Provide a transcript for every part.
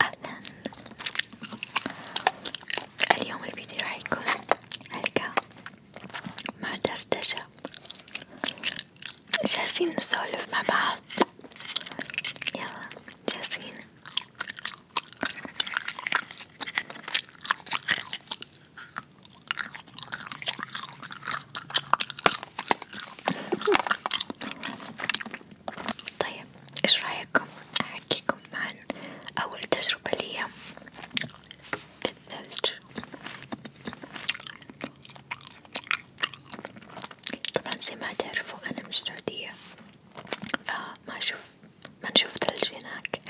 أهلا اليوم الفيديو راح يكون حلقة مع دردشة جالسين نسولف مع بعض يلا جالسين طيب ايش رايكم احكيكم عن اول تجربة لي في الثلج طبعا زي ما تعرفوا انا من السعودية فما اشوف ما نشوف ثلج هناك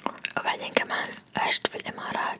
وبعدين كمان عشت في الامارات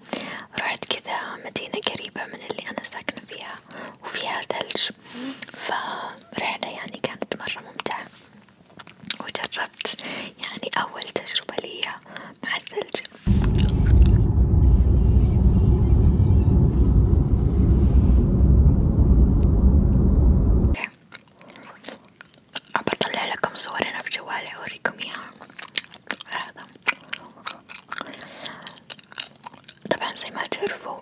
رحت كذا مدينة قريبة من اللي أنا ساكنة فيها وفيها ثلج فرحلة يعني كانت مرة ممتعة وجربت يعني أول تجربة لي مع الثلج بطلع لكم صورنا في جوالي أوريكم إياها هذا طبعا زي ما تعرفوا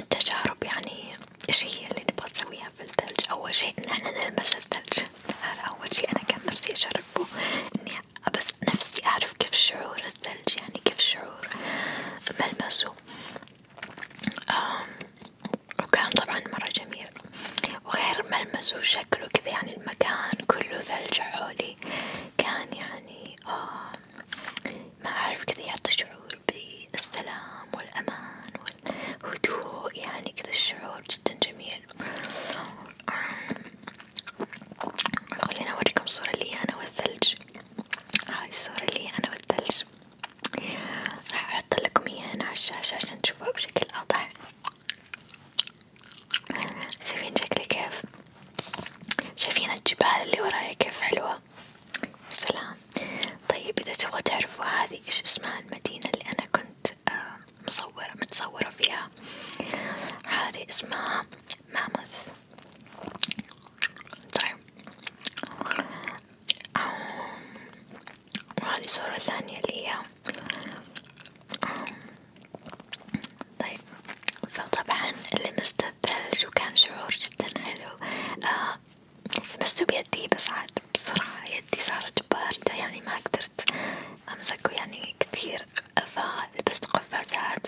التجارب يعني إيش هي اللي نبغى نسويها في الثلج أول شي إن احنا نلمس الثلج هذا أول شي أنا كان نفسي أجربه إني بس نفسي أعرف كيف شعور الثلج يعني كيف شعور ملمسه وكان طبعا مرة جميل وغير ملمسه شكله كذا يعني المكان كله ثلج حولي شوي كان يعني آه ما أعرف كذا يعطي شعور بالسلام والأمان والهدوء يعني كذا الشعور جدا جميل آه، آه، خليني أوريكم صورة لي أنا والثلج هاي الصورة لي أنا والثلج راح أحط لكم إياها هنا على الشاشة عشان تشوفوها بشكل أوضح شايفين شكلي كيف؟ شايفين الجبال اللي وراي كيف حلوة؟ سلام طيب إذا تبغوا تعرفوا هذه إيش اسمها المدينة اللي أنا كنت آه، متصورة فيها هذه اسمها ماموث طيب وهذه صورة ثانية اللي طيب فطبعا لمست الثلج وكان شعور جدا حلو آه لمسته بيدي بس عاد بسرعة يدي صارت باردة يعني ما قدرت أمسكه يعني كثير فلبست قفازات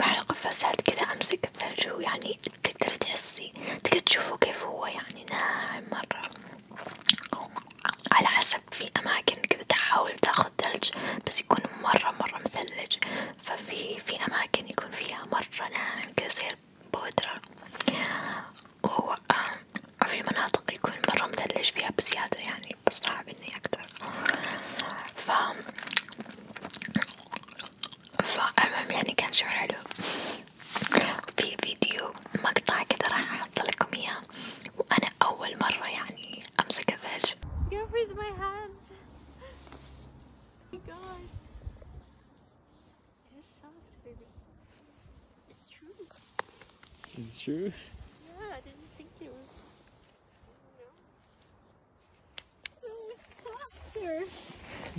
مع القفازات كذا أمسك الثلج ويعني تقدر تحسي تقدر تشوفه كيف هو يعني ناعم مرة على حسب حسب في أماكن كده تحاول تاخد ثلج بس يكون مرة مرة مثلج ففي في أماكن يكون فيها مرة ناعم كذا زي البودرة وفي آه، مناطق يكون مرة مثلج فيها بزيادة يعني بس صعب إني أقدر ف فالمهم يعني كان شعور حلو في فيديو مقطع كده راح أحط لكم إياه وأنا أول مرة يعني أمسك الثلج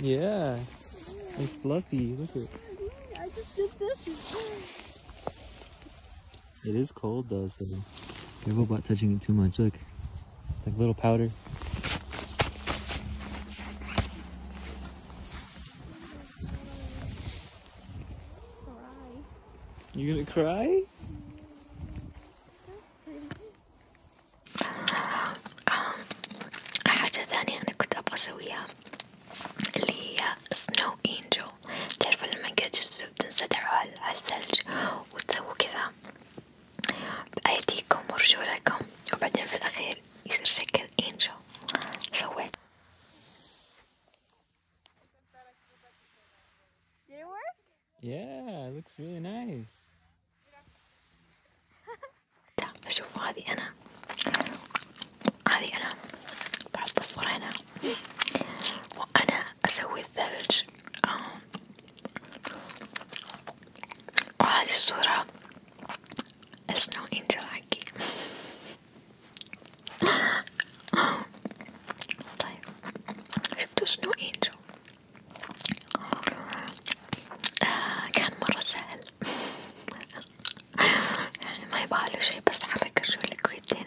Yeah, it's fluffy. Look at it. I just did this. It is cold though, so careful about touching it too much. Look, like little powder. You gonna cry? الحاجة الثانية أنا كنت أبغى أسويها سنو إنجل تعرفوا لما قد بتنسدحوا على الثلج وتسووا كذا بأيديكم ورجولكم وبعدين في الأخير يصير شكل إنجل سويت Did it work? Yeah, it looks really nice. شوفوا هذه أنا هذه أنا بحط الصورة هنا وأنا أسوي الثلج آه، وهذه الصورة سنو انجل حقي طيب شفتوا سنو انجل آه كان مرة سهل يعني ما يبغاله شي بس حرك رجولك ويديك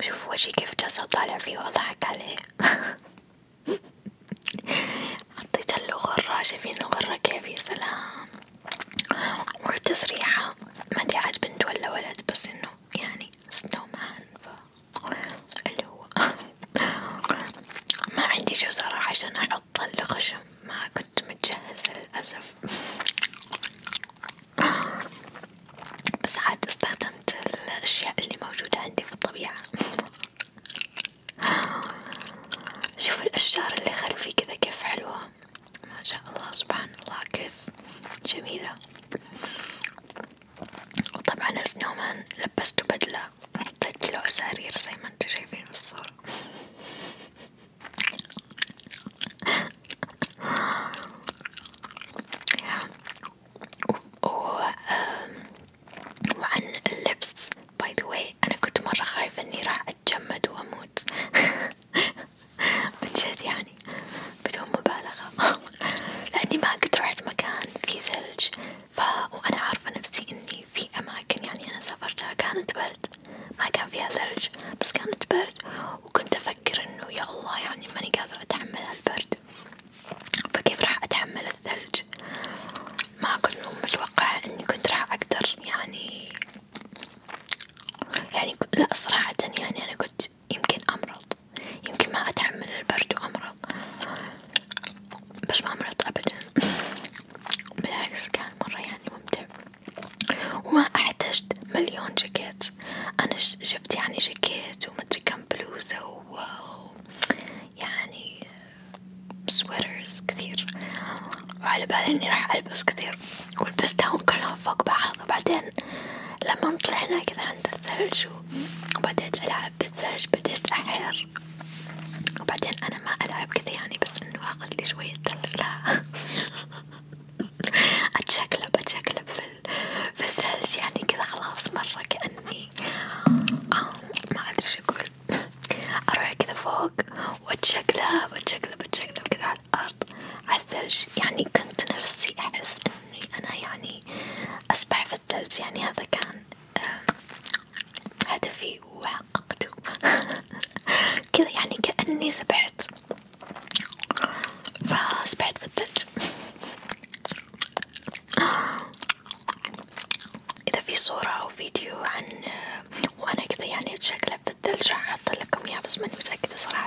شوف وجهي كيف جاز طالع فيه وأضحك عليه حطيت له غرة شايفين الغرة كيف يا سلام والتسريحة ما أدري عاد بنت ولا ولد بس إنه يعني سنو مان ف اللي هو ما عندي شو صراحة عشان أحط الخشم ما كنت متجهزة للأسف بس عاد استخدمت الأشياء اللي موجودة عندي في الطبيعة شوف الأشجار اللي خلفي كذا كيف حلوة ما شاء الله سبحان الله كيف جميلة وطبعا السنومان لبسته بدلة وحطيت له أزارير زي ما انتو شايفين في الصورة وعن اللبس باي ذا واي انا كنت مرة خايفة اني راح اتجمد واموت بجد يعني بدون مبالغة لاني ما قد رحت مكان فيه ثلج ف وانا عارفة نفسي اني في اماكن يعني انا سافرتها كانت برد ما كان فيها ثلج بس كانت برد وكنت افكر انه يا الله يعني ماني قادرة اتحمل هالبرد فكيف راح اتحمل الثلج ما كنت متوقعة اني كنت راح اقدر يعني يعني لا صراحة يعني انا كنت يمكن امرض يمكن ما اتحمل البرد وامرض بس ما امرض ابدا بالعكس كان مرة يعني ممتع وما احتجت مليون جاكيت أنا جبت يعني جاكيت ومدري كم بلوزة و يعني سويترز كثير وعلى بالي إني راح ألبس كثير ولبستهم كلهم فوق بعض وبعدين لما طلعنا كذا عند الثلج وبديت ألعب بالثلج بديت أحير وبعدين أنا ما ألعب كذا يعني بس إنه آخذ لي شوية ثلج لا أتشقلب أتشقلب في في الثلج يعني كذا خلاص مرة كأني آه ما أدري شو أقول أروح كذا فوق وأتشقلب أتشقلب أتشقلب كذا على الأرض على الثلج يعني كنت نفسي أحس إني أنا يعني أسبح في الثلج يعني هذا كان هدفي وحققته كذا يعني كأني سبحت فسبحت في الثلج إذا في صورة أو فيديو عن وأنا كذا يعني بشكله بالثلج راح أحط لكم إياه بس ماني متأكدة صراحة.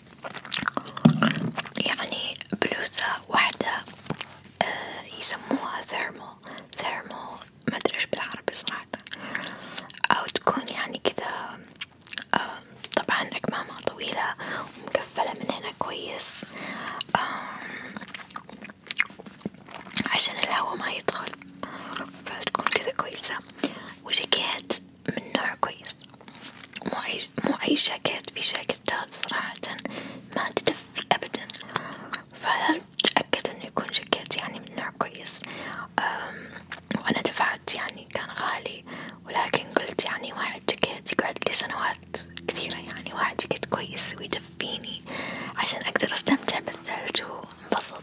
يعني بلوزة واحدة آه يسموها ثيرمو ثيرمو ما ادري ايش بالعربي صراحة او تكون يعني كذا آه طبعا اكمامها طويلة ومكفلة من هنا كويس آه عشان الهواء ما يدخل فتكون كذا كويسة وجاكيت من نوع كويس مو أي مو أي جاكيت في جاكيتات صراحة ما تدفي أبدا فهذا تأكد إنه يكون جاكيت يعني من نوع كويس وأنا دفعت يعني كان غالي ولكن قلت يعني واحد جاكيت يقعد لي سنوات كثيرة يعني واحد جاكيت كويس ويدفيني عشان أقدر أستمتع بالثلج وأنبسط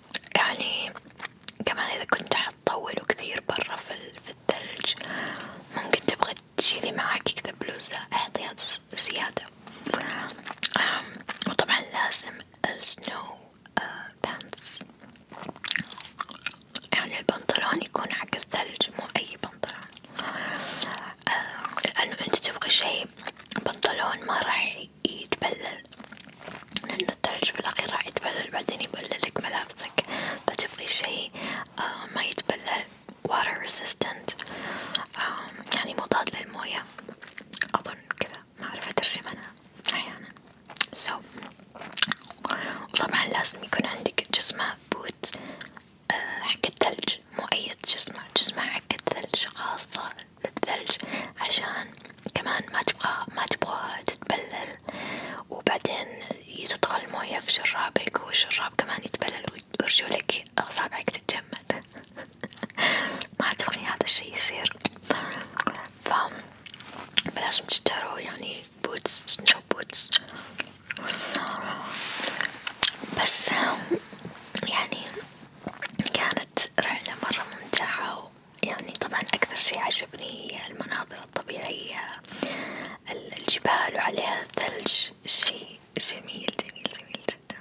يعني كمان إذا كنت حتطولوا كثير برا في, الثلج ممكن تبغى تشيلي معاك كذا بلوزة احطيها زيادة وطبعا لازم السنو بانس آه، يعني البنطلون يكون حق الثلج مو أي بنطلون لأنه أنت تبغى شي بنطلون ما راح يتبلل لأنه الثلج في الأخير راح يتبلل بعدين يبللك ملابسك فتبغي شي آه، ما يتبلل water resistant آه، يعني مضاد للموية أظن كذا ما أعرف أترجمها أحيانا so وطبعا لازم يكون عندك جسمة بوت آه، حق الثلج مو أي جسمة جسمة حق الثلج خاصة للثلج عشان كمان ما تبغى ما تبغى تتبلل وبعدين تدخل المويه في شرابك والشراب كمان يتبلل ورجولك أصابعك تتجمد ما تبغي هذا الشي يصير ف بلازم تشتروا يعني بوتس سنو بوتس بس يعني كانت كانت رحلة مرة ممتعة يعني طبعا أكثر شي عجبني هي المناظر الطبيعية الجبال وعليها الثلج شي جميل جميل جميل جدا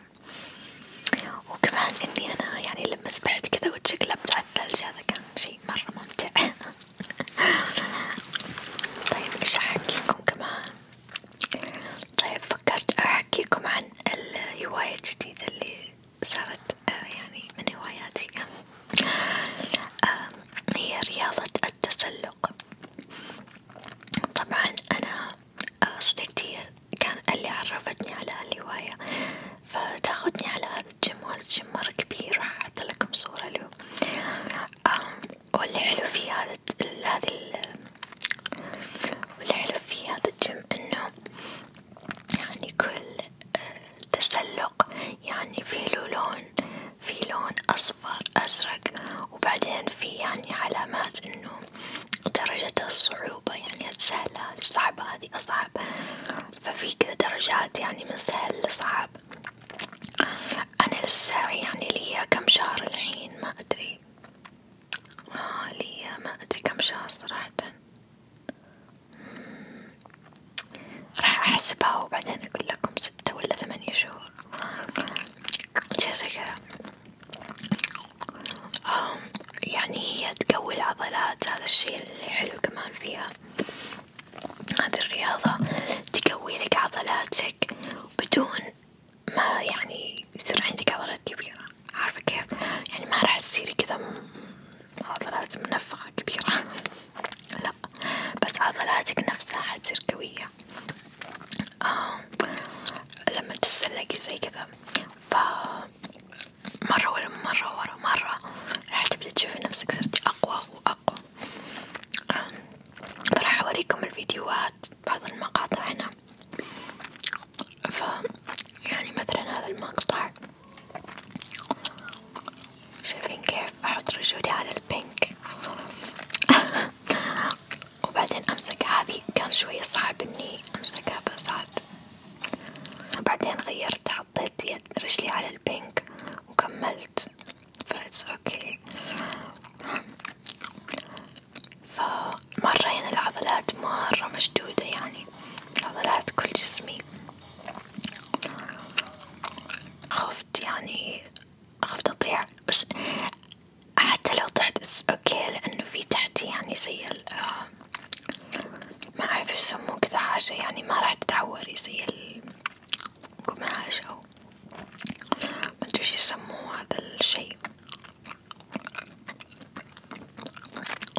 وكمان إني أنا يعني لما سبحت كذا وتشقلبت على الثلج هذا كان شي مرة ممتع طيب إيش أحكيكم كمان طيب فكرت أحكيكم عن الهواية الجديدة اللي صارت آه، يعني من هواياتي هي رياضة التسلق طبعا أنا آه، صديقتي كان اللي عرفتني على الهواية فتاخدني على هذا الجيم وهذا الجيم مرة كبير راح أحط لكم صورة له والحلو في هذا هذه والحلو في هذا الجيم إنه يعني كل آه، تسلق يعني في له لون في لون أصفر أزرق وبعدين في يعني علامات إنه درجة الصعوبة يعني سهلة هذه صعبة هذه أصعب ففي كذا درجات يعني من سهل لصعب أنا لسه يعني ليا كم شهر الحين ما أدري آه ليا ما أدري كم شهر صراحة راح أحسبها وبعدين أقول لكم ستة ولا ثمانية شهور شي زي كذا يعني هي تقوي العضلات هذا الشي اللي حلو كمان فيها هذه الرياضة تقوي لك عضلاتك بدون ما يعني يصير عندك عضلات كبيرة عارفة كيف يعني ما راح تصيري كذا عضلات منفخة كبيرة لا بس عضلاتك نفسها حتصير قوية آه لما تتسلقي زي كذا ف مرة ورا مرة ورا مرة راح تبدي تشوفي نفسك صرتي أقوى وأقوى راح أوريكم الفيديوهات بعض المقاطع هنا ف يعني مثلا هذا المقطع شايفين كيف أحط رجولي على البنك وبعدين أمسك هذه كان شوية صعب إني أمسكها بساعد بعدين غيرت حطيت يد رجلي على البنك وكملت فإتس أوكي فمرة هنا يعني العضلات مرة مشدودة يعني عضلات كل جسمي خفت يعني خفت أضيع بس حتى لو طحت بس اوكي لأنه في تحتي يعني زي ال ما أعرف يسموه كذا حاجة يعني ما راح تتعوري زي القماش أو مدري ايش يسموه هذا الشي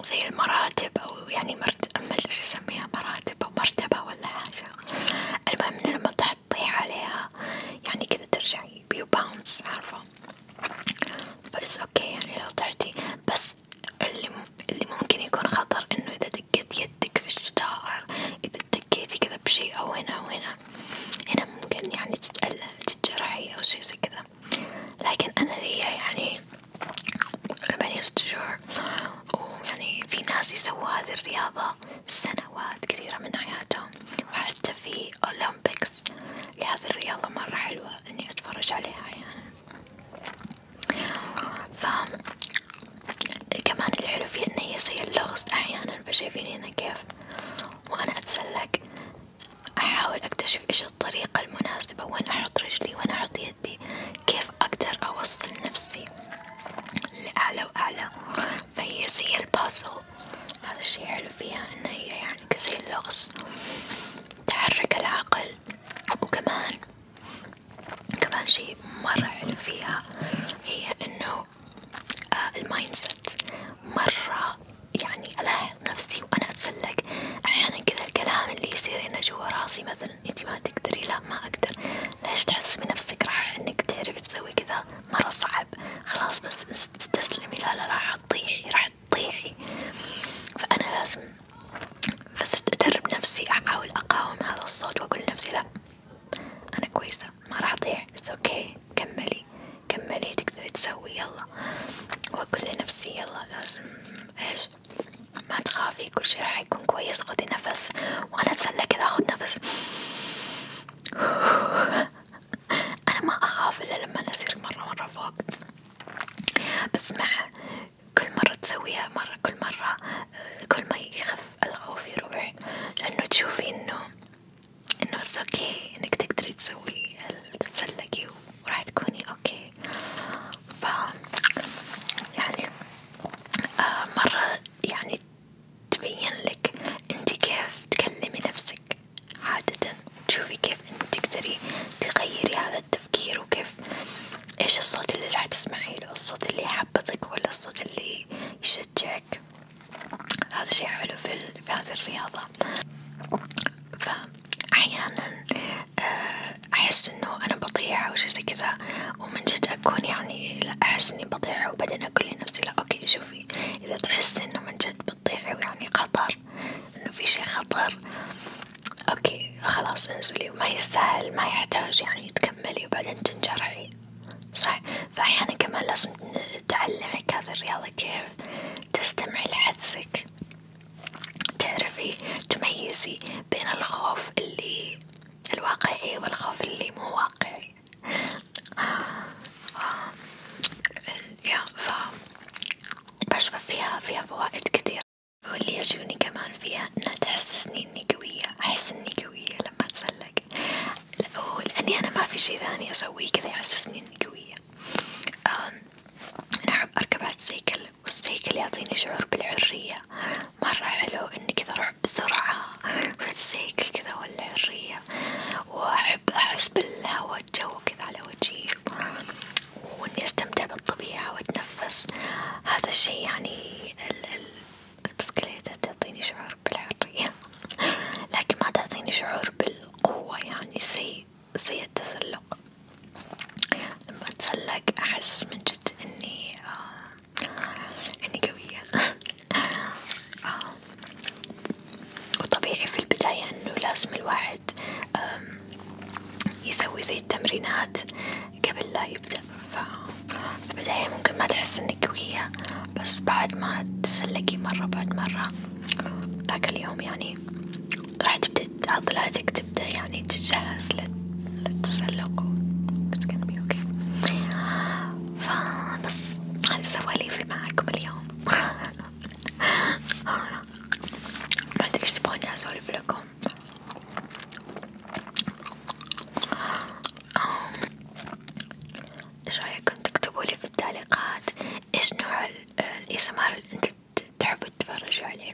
زي المراتب أو يعني مرت ما شو أسميها مراتب أو مرتبة ولا حاجة، المهم لما تحطي عليها يعني كذا ترجعي بيو باونس عارفة، بس أوكي يعني لو طحتي بس اللي اللي ممكن يكون خطر إنه إذا دقيت يدك في الشجار إذا دقيتي كذا بشي أو هنا أو هنا هنا ممكن يعني تتألم تتجرحي أو شي زي كذا وكذا لكن أنا ليا يعني ثمانية ست شهور ويعني في ناس يسووا هذه الرياضة سنوات كثيرة من حياتهم وحتى في أولمبيكس لهذه الرياضة مرة حلوة إني أتفرج عليها أحيانا يعني. كمان الحلو فيها إن هي زي اللغز أحيانا فشايفين هنا كيف وأنا أتسلق أحاول أكتشف إيش الطريقة المناسبة وين أحط رجلي وين أحط يدي كيف أقدر أوصل نفسي لأعلى وأعلى فهي زي البازو هذا الشي حلو فيها إن هي يعني كزي اللغز تحرك العقل وكمان كمان شي مرة حلو فيها هي إنه آه، المايند سيت مرة يعني ألاحظ نفسي وأنا أتسلق أحيانا كذا الكلام اللي يصير هنا جوا راسي مثلا أنت ما تقدري لا ما أقدر ليش تحس بنفسك راح إنك تعرفي تسوي كذا مرة صعب خلاص بس استسلمي لا لا راح تطيحي راح تطيحي فأنا لازم بس أدرب نفسي أحاول أقاوم هذا الصوت وأقول لنفسي لا أنا كويسة ما راح أطيح اتس اوكي okay. كملي كملي تقدري تسوي يلا وأقول لنفسي يلا لازم إيش ما تخافي كل شي راح يكون كويس خذي نفس وأنا أتسلى كذا أخذ نفس أنا ما أخاف إلا لما أصير مرة مرة فوق بس مع كل مرة تسويها مرة كل مرة آه، كل ما يخف الخوف يروح لأنه تشوفي إنه إنه اوكي إنك تقدري تسوي تتسلقي وراح تكوني اوكي ف يعني آه مرة يعني تبين لك انت كيف تكلمي نفسك عادة تشوفي كيف انت تقدري تغيري هذا التفكير وكيف ايش الصوت اللي راح تسمعي له الصوت اللي يحبطك ولا الصوت اللي يشجعك هذا شي حلو في, في هذه الرياضة ف أحيانا آه، أحس إنه أنا بضيع أو شي زي كذا ومن جد أكون يعني لا أحس إني بضيع وبعدين أقول لنفسي لا أوكي شوفي إذا تحس إنه من جد بتضيعي ويعني خطر إنه في شي خطر أوكي خلاص انزلي وما يستاهل ما يحتاج يعني تكملي وبعدين تنجرحي صح فأحيانا كمان لازم تعلمك هذا الرياضة كيف تستمعي لحدسك تعرفي تميزي بين الخوف اللي الواقعي والخوف اللي مو واقعي آه، آه، يا ف بشوف فيها فيها فوائد كثير واللي يعجبني كمان فيها انها تحسسني اني قوية احس اني قوية لما اتسلق لأني انا ما في شي ثاني اسويه كذا يحسسني اني قوية شوية أنا أحب أركب على السيكل والسيكل يعطيني شعور بالحرية مرة حلو إني كذا أروح بسرعة في السيكل كذا والحرية وأحب أحس بالهواء الجو كذا على وجهي وإني أستمتع بالطبيعة وأتنفس هذا الشي يعني ال ال البسكليتة تعطيني شعور بالحرية لكن ما تعطيني شعور بالقوة يعني سيء سيتسلق لما اتسلق احس من جد اني آه اني قوية آه. وطبيعي في البداية انه لازم الواحد يسوي زي التمرينات قبل لا يبدأ في البداية ممكن ما تحس انك قوية بس بعد ما تسلقي مرة بعد مرة ذاك اليوم يعني راح تبدأ عضلاتك تبدأ يعني تتجهز للتسلق وتكملي اوكي فبس هذا سواليفي معاكم اليوم ما ادري ايش تبغوني اسولف لكم ايش رايكم تكتبولي في التعليقات ايش نوع الاسمار اللي انتو تحبوا تتفرجوا عليه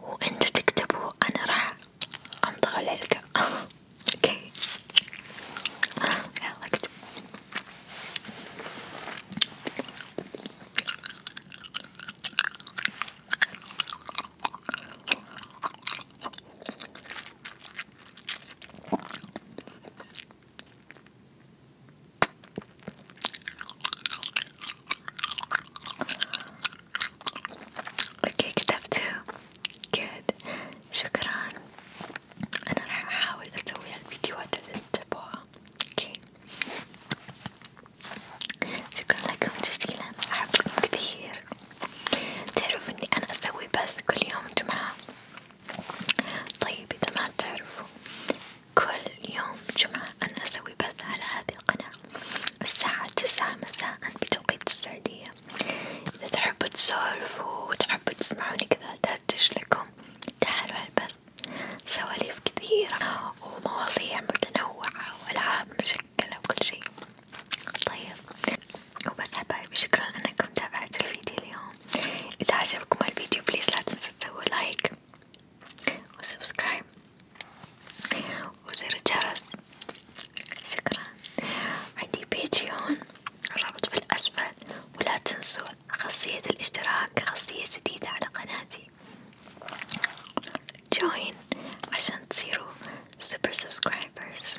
وانتوا تكتبوا انا راح امضغ العلقة اوكي يلا اكتب اوكي كتبته جود شكرا انا راح احاول اسوي الفيديوهات اللي تتابعوها اوكي شكرا لكم جزيلا احبكم كثير تعرفوا اني انا اسوي بث كل يوم جمعة طيب اذا ما تعرفوا كل يوم جمعة أنا أسوي بث على هذه القناة الساعة تسعة مساء بتوقيت السعودية، إذا تحبوا تسولفوا وتحبوا تسمعوني كذا أدردش لكم تعالوا هالبث، سواليف كثيرة ومواضيع متنوعة وألعاب مشكلة وكل شي، طيب وبس حبايبي شكرا أنكم تابعتوا الفيديو اليوم، إذا عجبكم الفيديو بليز لا تنسوا تسووا لايك وسبسكرايب وزر الجرس شكرا عندي باتريون الرابط في الأسفل ولا تنسوا خاصية الاشتراك خاصية جديدة على قناتي جوين عشان تصيروا سوبر سبسكرايبرز